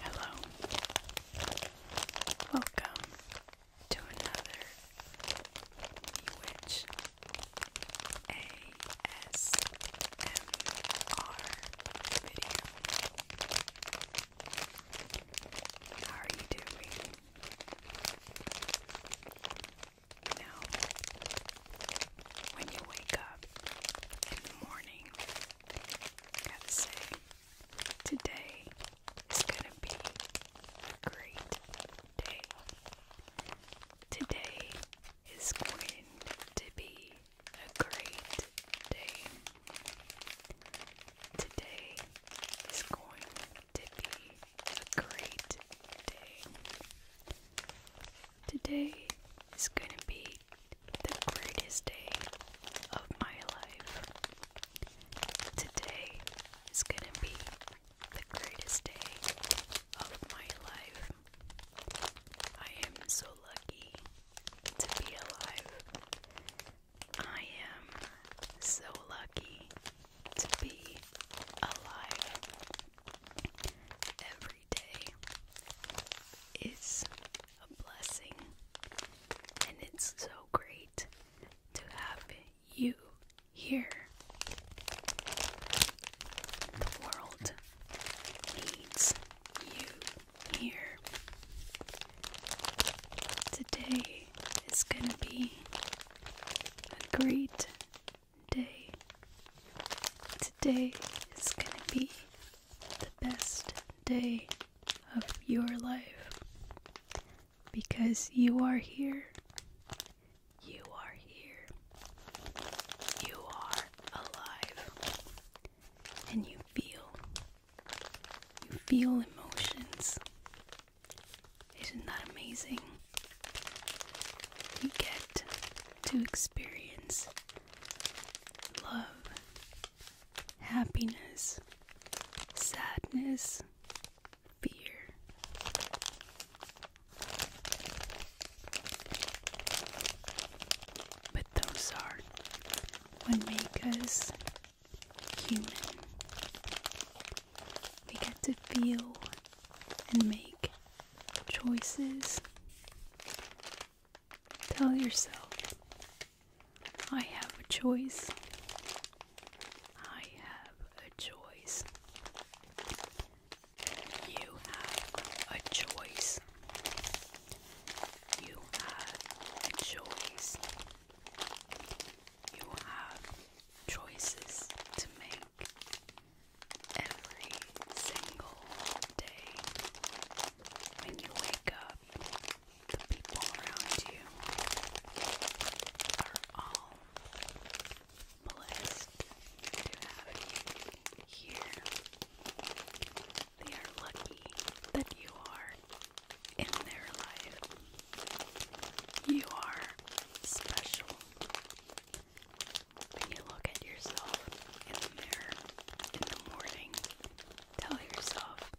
Hello. Welcome to another ASMR video. How are you doing? Now, when you wake up in the morning, gotta say, today is gonna be a great day. Today is going to be a great day. Today is going to be a great day. Today is going to be the greatest day of my life. Today is gonna be the greatest day of my life. I am so lucky to be alive. I am so lucky to be alive. Every every day is a blessing, and it's so great to have you here. The world needs you here. Today is going to be a great day. Today is going to be the best day of your life because you are here. You are here. You are alive. And you feel. You feel emotions. Isn't that amazing? You get to experience love, happiness, sadness, fear. But those are what make us human. We get to feel and make choices Tell yourself, I have a choice. I have a choice. You have a choice. You have a choice. You have choices to make every single day. When you wake up, the people around you are all blessed to have you here. They are lucky that you are in their life. You are special. When you look at yourself in the mirror in the morning, tell yourself,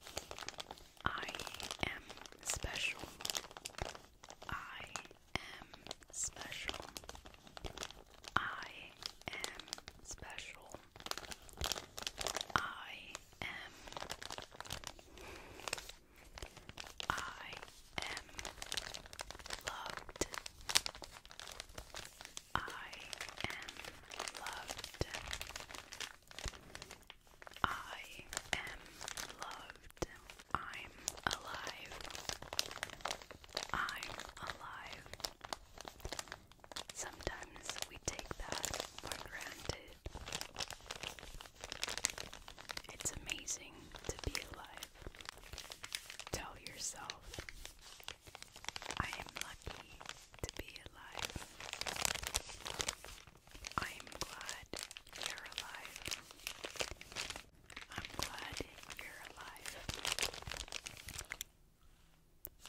I am special. I am special. I am special. I am. I am loved. I am loved. I am loved. I'm alive. I'm alive. Sometimes we take that for granted. It's amazing to be alive. Tell yourself, I am lucky to be alive. I am glad you're alive. I'm glad you're alive.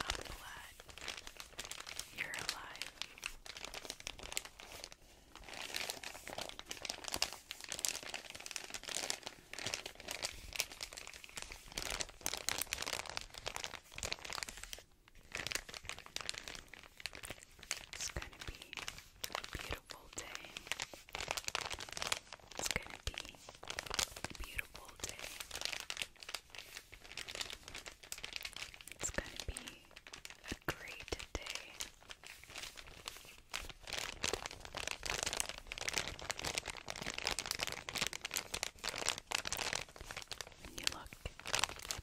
I'm glad you're alive. It's going to be a beautiful day. It's going to be a beautiful day. It's going to be a great day. You look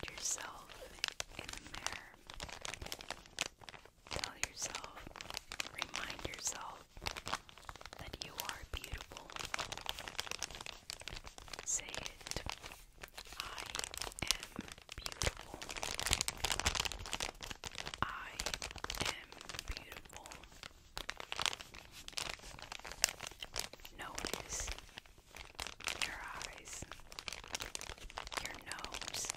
at yourself in the mirror. Tell yourself, remind yourself that you are beautiful. Say it. I am beautiful. I am beautiful. Notice your eyes, your nose,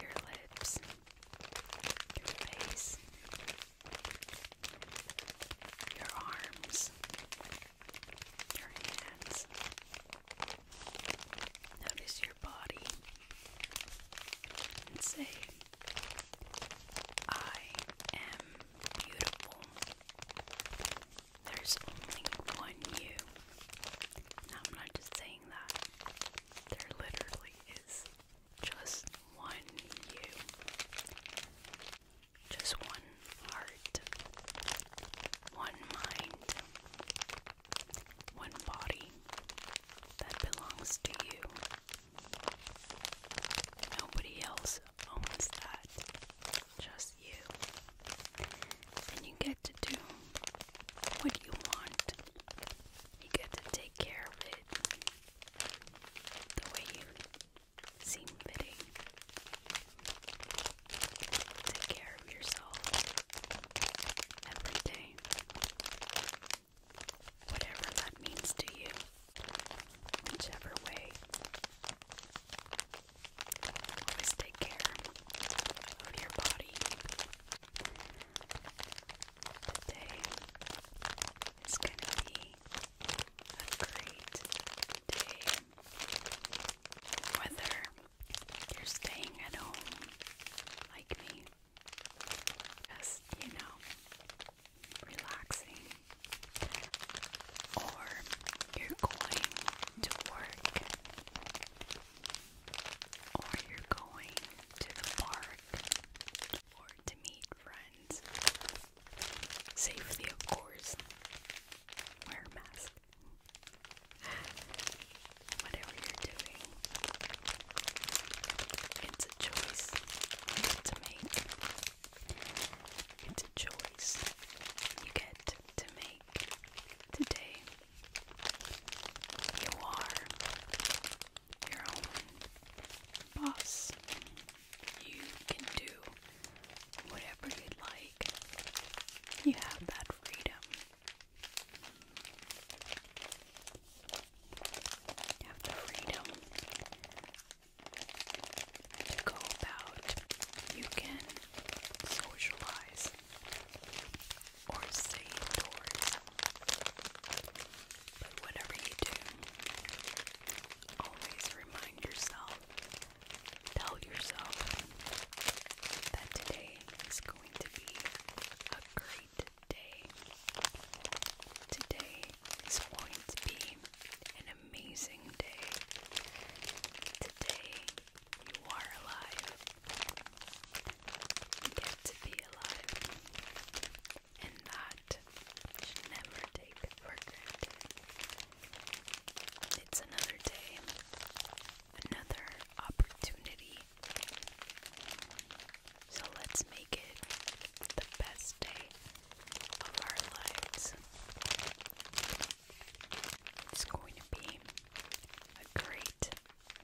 your lips, your face, your arms, your hands, Notice your body and say, I am beautiful. There's only one you. I'm not just saying that, there literally is just one you, just one heart, one mind, one body that belongs to you. Nobody else owns that, just you. And you get to do what you want, you get to take care of it the way you seem fitting. Take care of yourself every day. Whatever that means to you, whichever way. Always take care of your body. Today is going to be a great day whether you're staying at home like me, just, you know, relaxing, or you're going to work, or you're going to the park, or to meet friends. Safely, of course. Wear mask. Whatever you're doing, it's a choice you get to make. It's a choice you get to make today. You are your own boss. You can do whatever you like. You have that freedom have freedom go about. You can socialize or stay indoors, but whatever you do, always remind yourself Tell yourself that today is going to be a great day. Today is going to be an amazing day. Today you are alive. get to be alive. And that never take for granted. It's another day another opportunity. So let's make it the best day of our lives. It's going to be a great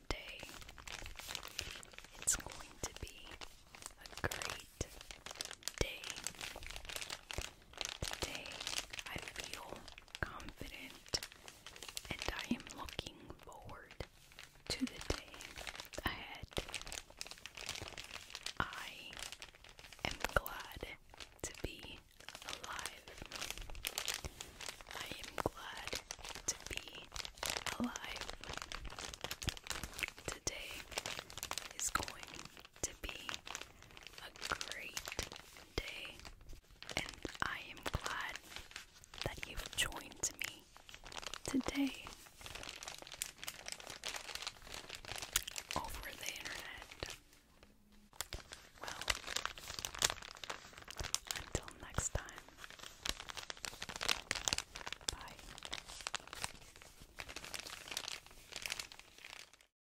day. It's going to be a great day. Today I feel confident and I am looking forward to the day ahead. I am glad to be alive. I am glad to be alive. Today is going to be a great day, and I am glad that you've joined me today over the internet. Well, until next time, bye.